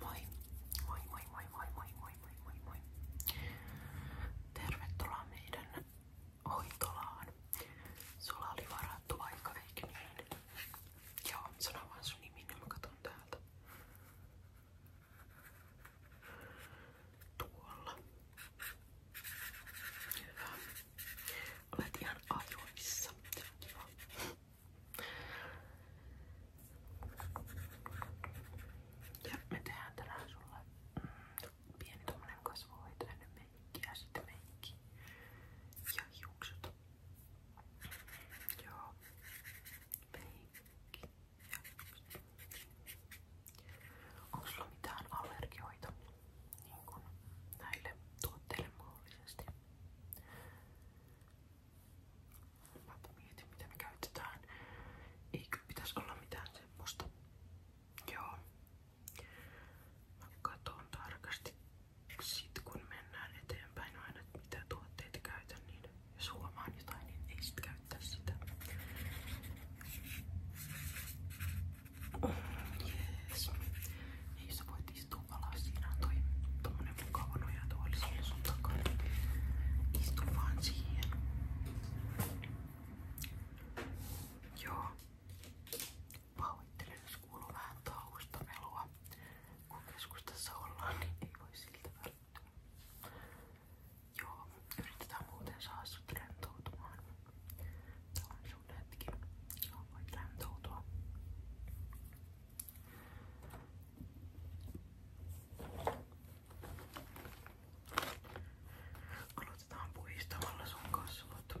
Moi, moi, moi, moi, moi, moi, moi, moi, moi. Tervetuloa meidän hoitolaan. Sulla oli varattu aika, eikö niin? Joo, sano vaan sun nimi, niin mä katon täältä. Tuolla. Hyvä. Olet ihan ajoissa. Se on kiva. Ja me tehdään tänään sulle pieni tommonen kasvohoito ennen meikkiä, sitten meikki ja hiukset. Joo, meikki ja hiukset. Onko sulla mitään allergioita niin näille tuotteille mahdollisesti? Mäpä mietin mitä me käytetään. Ei kyllä pitäis olla mitään semmoista. Joo. Mä katon tarkasti sit kun mennään eteenpäin aina, että mitä tuotteita käytän, niin jos huomaan jotain, niin ei sit käyttää sitä. Jees. Niissä voit istuu alas. Siinä on toi tommonen mukava nojatuoli siellä sun takana. Istu vaan siihen. Joo. Pahoittelen, jos kuuluu vähän tauosta melua. Kun keskustassa ollaan, niin ei voi siltä välttää. Joo, yritetään muuten saada sut rentoutumaan. Tää on sun hetki. Voit rentoutua. Aloitetaan puistamalla sun kasvot.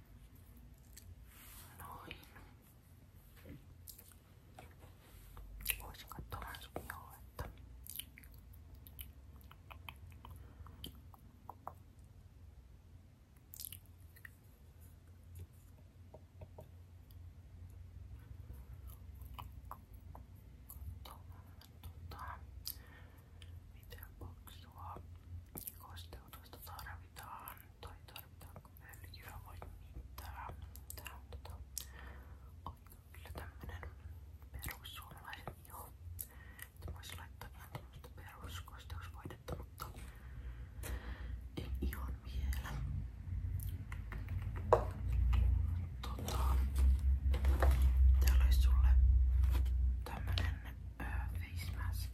Noin. Voisin katsoa vähän sun jouluetta. Tota, miten poksua kosteutusta saadaan tarvitaan, tai tarvitaanko öljyä vai mitään. Tää on tota, on kyllä tämmönen perussuomalainen joo. Että voisi laittaa ihan tämmöstä peruskosteusvoidetta, mutta en ihan vielä. Tota, täällä olisi sulle tämmönen face mask.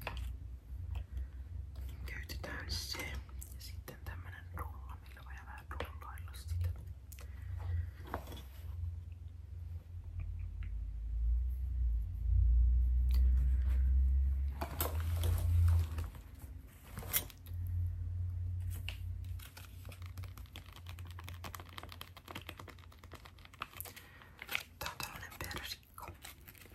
Käytetään se ja sitten tämmönen rulla, millä voi vähän rullailla sitä. Tää on tällainen persikko.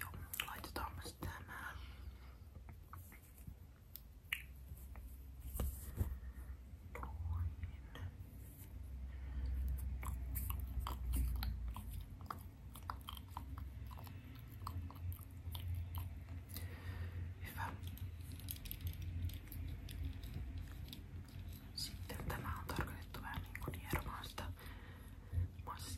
Joo, laitetaan myös tämä. Noin. Hyvä. Sitten tämä on tarkoitettu vähän niin kuin hieromaan sitä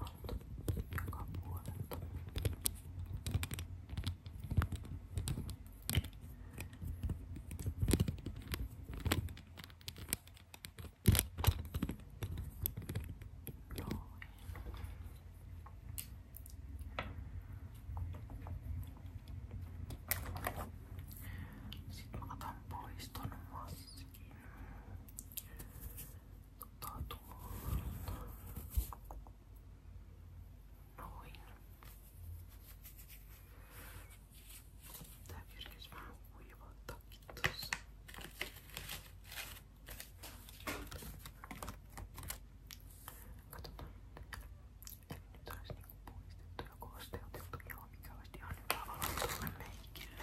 Alta joka puolelta. Noin. Sitten mä otan pois ton maskin ottaa tuolta. Noin. Tää kerkes vähän kuivattaakin tossa. Katsotaan. Eli nyt olisi niinku puhdistettu ja kooste otettu. Joo, mikä olisi ihan hyvä valo tuolle meikille.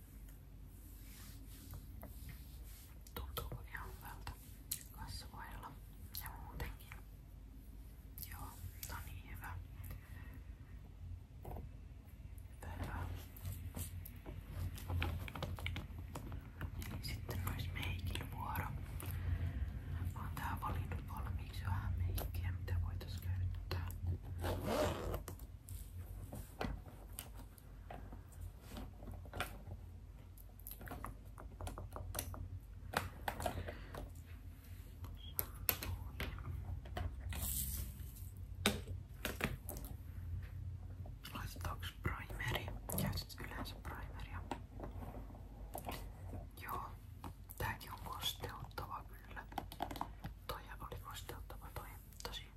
Tuntuuko ihan hyvältä kasvoilla ja muutenkin? Joo, no niin hyvä. Hyvä. Eli sitten olisi meikin vuoro. Mä oon tää valinnut valmiiksi vähän meikkiä, mitä voitais käyttää. Laitetaanko primeri? Käytit yleensä primeria? Joo, tääkin on kosteuttava kyllä. Toi oli kosteuttava toi, tosi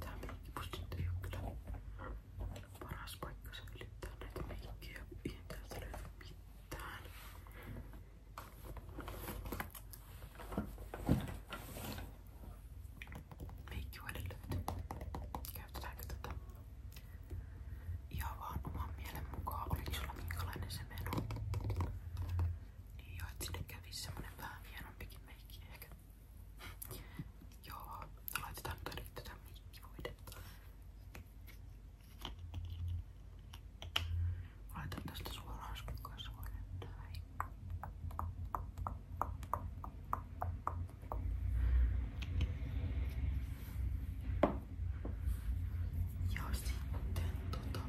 Tää meikki pussit ei oo kyllä paras paikka säilyttää näitä meikkejä, kun ei täältä löydy mitään. Meikki voi löytyy. Käytetäänkö tätä? Ihan vaan oman mielen mukaan. Oliko sulla minkälainen se meno? Niin joo, et sinne kävisi semmonen vähän hienompikin joo, laitetaan nyt ainakin tätä meikkivoidetta. Laitan tästä suoraan kasvoille näin. Ja sitten tota...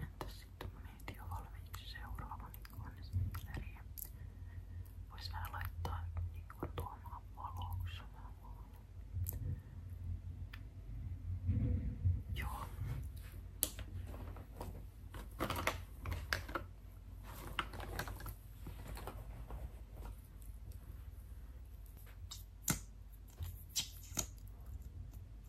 Entäs sitten mä mietin jo valmiiksi seuraavan ikonisileriä. Voisi vähän laittaa niinku tuomaan valoksi Joo.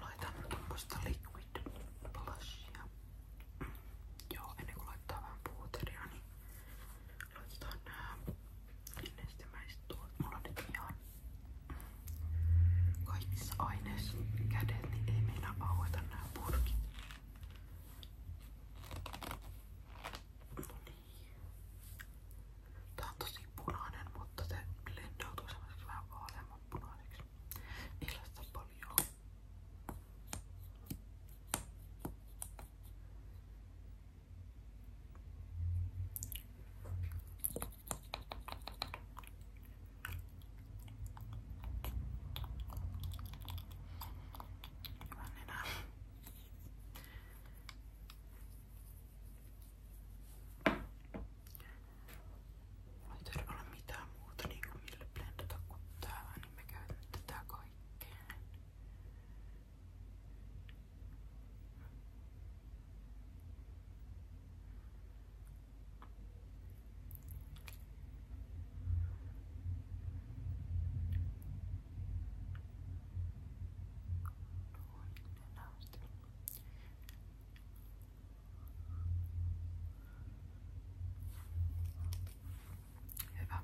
Laitan tuommoista liquid blushia. Joo, ennen kuin laittaa vähän puuteria, niin laitetaan nää nestemäiset tuot. Mulla on nyt ihan kaikissa aineissa kädet, niin ei meillä aueta nää purkit. No niin. Tää on tosi punainen, mutta se lennoutuu semmoiseksi vähän vaaleamman punaiseksi. Niillä sitä paljon. Hyvä nenä. Ei tarvitse olla mitään muuta niin kuin millä blendata kuin tää, niin me käytän tätä kaikkeen. Noin, Hyvä.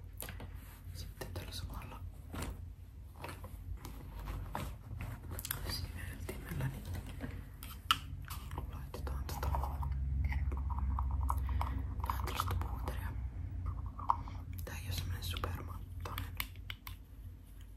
Sitten tällä samalla siveltimellä niin laitetaan tätä tuota vähän tällaista puuteria. Tää ei oo semmonen supermattainen.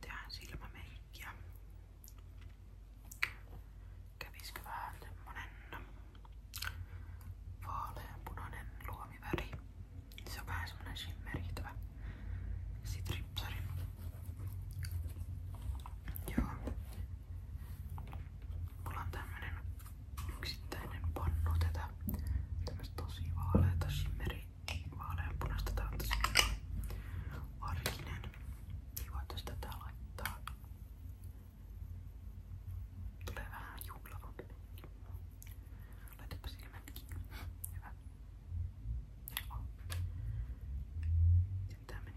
Tehdään silmämeikkiä. Kävisikö vähän semmonen vaaleanpunainen luomiväri. Se on vähän semmonen shimmeriitävä. Sit ripsari. Joo. Mulla on tämmönen yksittäinen pannu tätä. Tämmöstä tosi vaaleita shimmeri, vaaleanpunaista. Tää on tosi arkinen. Niin voitais tätä laittaa. Tulee vähän juhlavampi. Laitapa silmät kiinni. Hyvä. Joo. Sitten tää meni.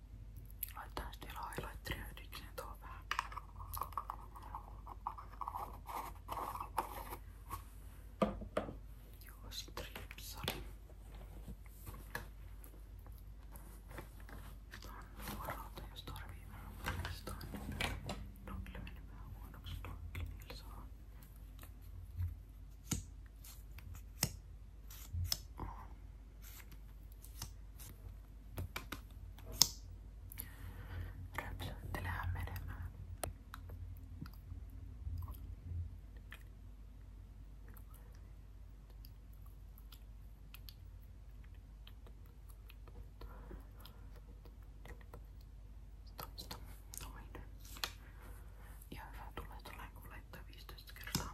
Laitetaan sitten vielä highlighteria ydikseen niin tuohon vähän. Joo, sit ripsali. Tää on nuoralta, jos tarvii vähän uudestaan. Niin Donkille meni vähän huonoksi, donkki niillä saa. Rypsyttelemään menemään. Toista. Noin. Ja hyvä tulee tuollainen, kun laittaa 15 kertaa.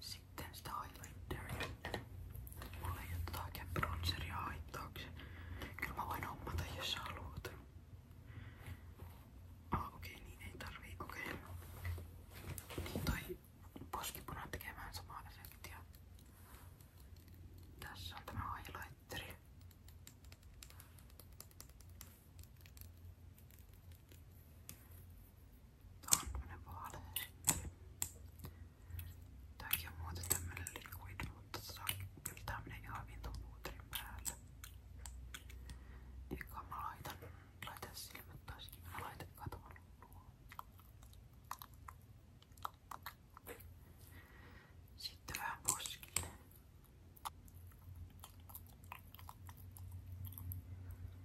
Sitten sitä Highlanderia. Mulla ei oo jotakin bronzeria haittaakseen. Kyllä mä voin hommata jos sä haluat. Ah okei, okay, niin ei tarvii. Okei. Okay. Niin toi poskipuna tekee vähän samaa efektiä. Tässä on tämä highlighteri. Tää on tämmönen vaalehmeli. Tääkin on muuten tämmönen liquid, mutta tota, kyllä tää menee ihan hyvin ton puuterin päälle. Eikä niin, mä laitan, laitan silmät taas kiinni. Mä laitan katovan luo. Sitten vähän poskille.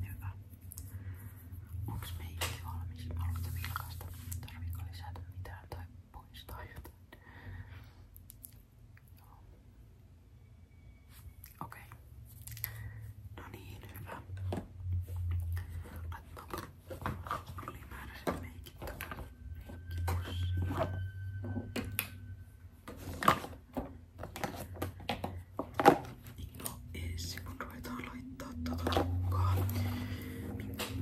Hyvä. Onks meikki valmis? Haluatte vilkaista? Tarviiko lisätä mitään tai poistaa jotain? Okei. Okay. No niin, hyvä. Laitetaanko ylimääräiset meikit takaisin meikkipussiin? No ei se, kun ruvetaan laittaa tota tukkaa.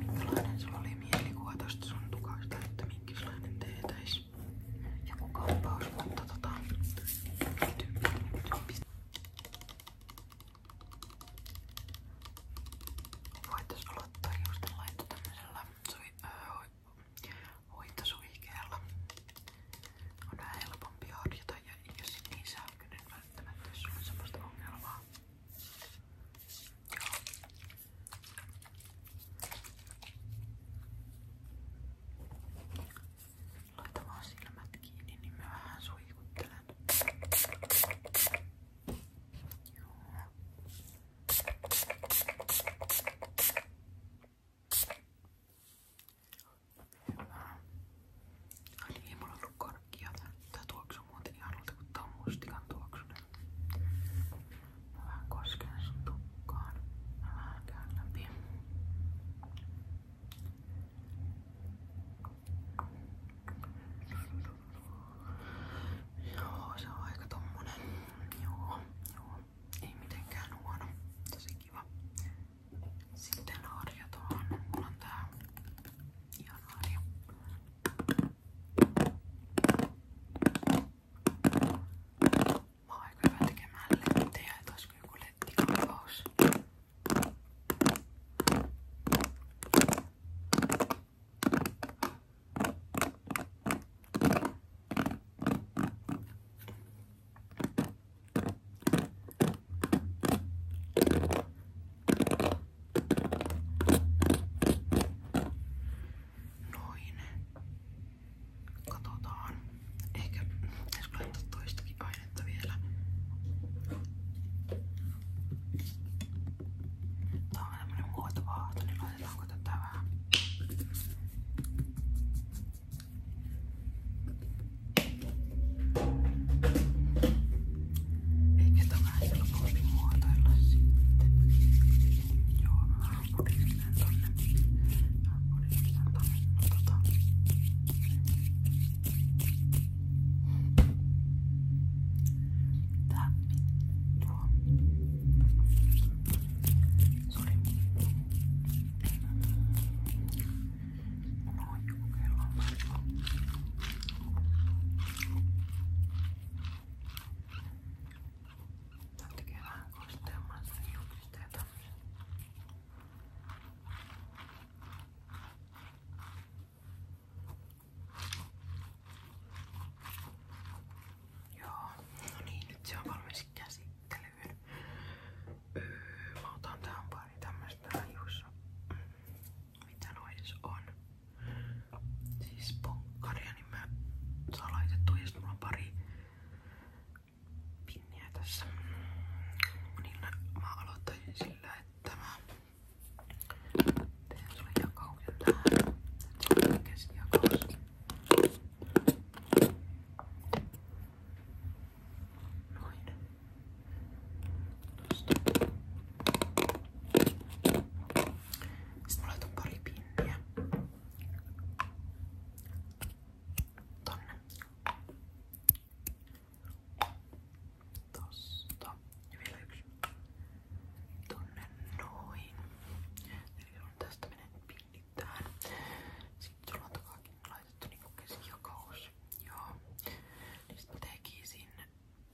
Minkälainen sulla oli mielikuva tosta sun tukasta, että minkälainen teetäis? Ja kuka kampaus, mutta tota... Voitais aloittaa just laittaa tämmöisellä sui, öö, hoitosuikeella. On vähän helpompi harjata ja jos niin sähköinen mä välttämättä, jos sulla on semmoista ongelmaa. Joo. Laita vaan silmät kiinni, niin mä vähän suikuttelen. Joo. Hyvä. Ainakin ei mulla ollut karkkia. Tää tuoksu muuten ihanalta kuin tää on mustikan tuoksunen. Mä vähän kosken sun tukkaan. Mä vähän käyn läpi. Joo, se on aika tommonen. Joo, joo. Ei mitenkään huono. Tosi kiva. Sitten harjataan. Mulla on tää Januari. No niin. Mä oon aika hyvä tekemään lettejä, et olisiko joku lettikampaus. Noin. Katsotaan. Ehkä pitäisikö laittaa toistakin ainetta vielä. Tää on tämmönen muotovaahto, niin laitetaanko tätä vähän? Eikä tämä helpompi muotoilla sitten. Joo, mä pudistelen tonne. Mä pudistelen tonne. No, tota. Tää vittua. Sori. Noin, kokeillaan vähän. Tän tekee vähän kosteamman sitä hiuksista ja tämmösen. Joo, no niin, nyt se on valmis käsittelyyn. Öö, mä otan tähän pari tämmöstä hiussa. Mm mitä noi edes on. Siis ponkkaria, niin mä saan laitettua ja mulla on pari pinniä tässä. Niin mä aloittaisin sillä, että mä teen sulle jakauksen tähän. Että se on Noin. Sitten mä laitan pari pinniä tonne. Tosta. Ja vielä yksi. Tonne noin. Eli on tästä menen pinnit tähän. Sitten sulla on takaakin laitettu niinku keskijakaus. Joo. Niin sit mä tekin sinne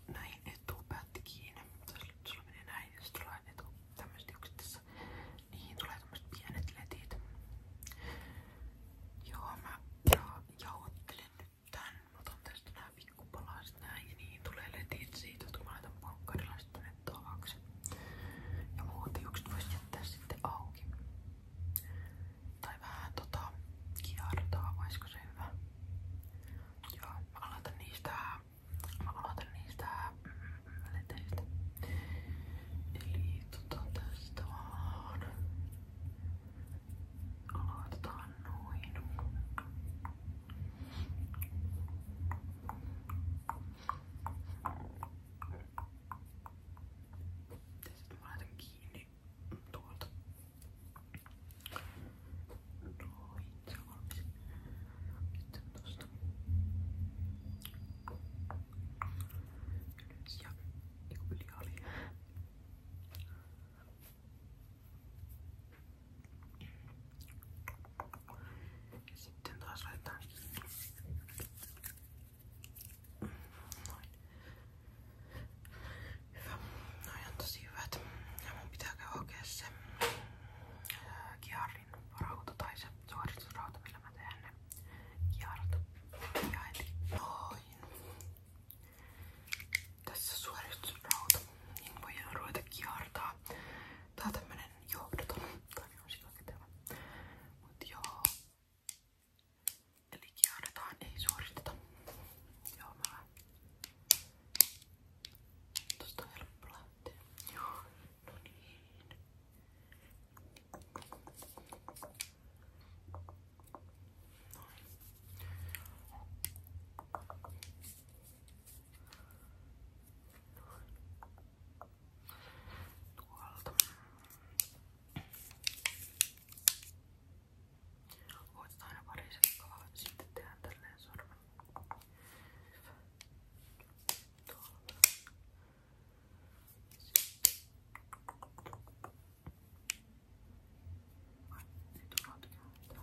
näin etupäätti kiinni. Tässä sulla menee näin ja sitten tulee etu. Tämmöiset yksi tässä. Niihin tulee tämmöiset pienet letit. Joo, mä ja, jauhottelen nyt tän. Mä otan tästä nää pikkupalaset näin ja niihin tulee letit siitä, kun mä laitan pankkarilla tänne taakse. Ja muut yksi voisi jättää sitten auki. Tai tai vähän tota kiertaa, olisiko se hyvä? Joo, mä aloitan niistä, mä aloitan niistä mm, leteistä. Eli tota tästä vaan. Aloitetaan noin. Ja sitten mä laitan kiinni tuolta. Noin, se on Sitten tosta. Ylös ja yli ali. Ja sitten taas laitetaan noin. Hyvä. Noi on tosi hyvät. Ja mun pitää käydä hakea se ää, kiarin rauta tai se suoritusrauta, millä mä teen ne kiarat. Ja eli noin. Tässä suoritusrauta. Niin voidaan ruveta kiartaa. Tää on tämmönen johdoton. Tää on silloin Mut joo. Eli kiarretaan, ei suoristeta. Joo, mä Tosta on helppo lähteä. Joo, no niin. Noin. Tuolta. Voit aina pari sekkaa, sitten tehdään tälleen sormen. Tuolla. Sitten. Ai, nyt on Täällä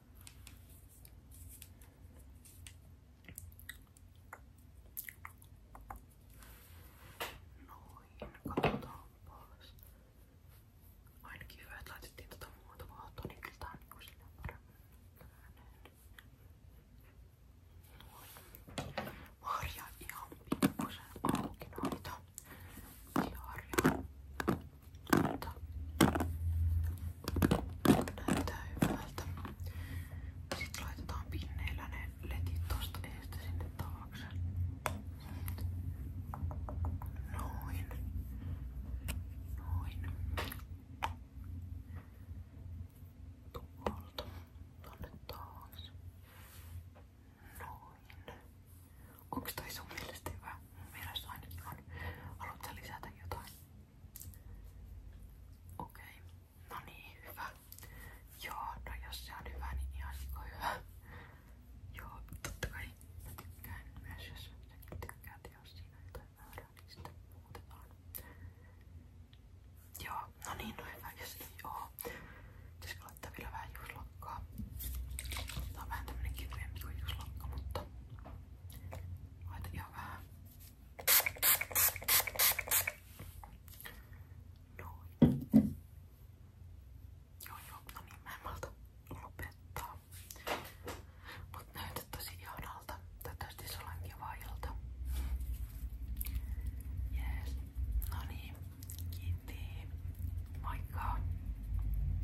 Noin, katsotaanpas. Ainakin hyvä, että laitettiin tota muutavaa tonikiltaan niin sinne paremmin. Noin. Marja ihan pikkusen auki noita. Jaaria. Näyttää hyvältä. Sitten laitetaan pinneillä ne letit tosta eestä sinne taakse. Noin. Noin. Tuolta. Tonne taas. Noin. Onks toi sun mielestä hyvä? Mun mielestä ainakin on. Haluatko sä lisätä jotain? Okei. Okay. No niin, hyvä. Joo, no jos se on hyvä, niin ihan niin hyvä. Joo, totta kai mä tykkään myös, jos säkin tykkäät, jos siinä on jotain väärää, niin sitten muutetaan. Joo, no niin, no hyvä, jos ei oo. Pitäisikö laittaa vielä vähän juuslokkaa? Tää on vähän tämmönen kevyempi kuin juuslokka, mutta Laita ihan vähän. Noin. Joo, joo, no niin, mä en malta lopettaa. Mut näytät tosi ihanalta. Toivottavasti sulla on kiva ilta. Jees. No niin, kiitti. Moikka.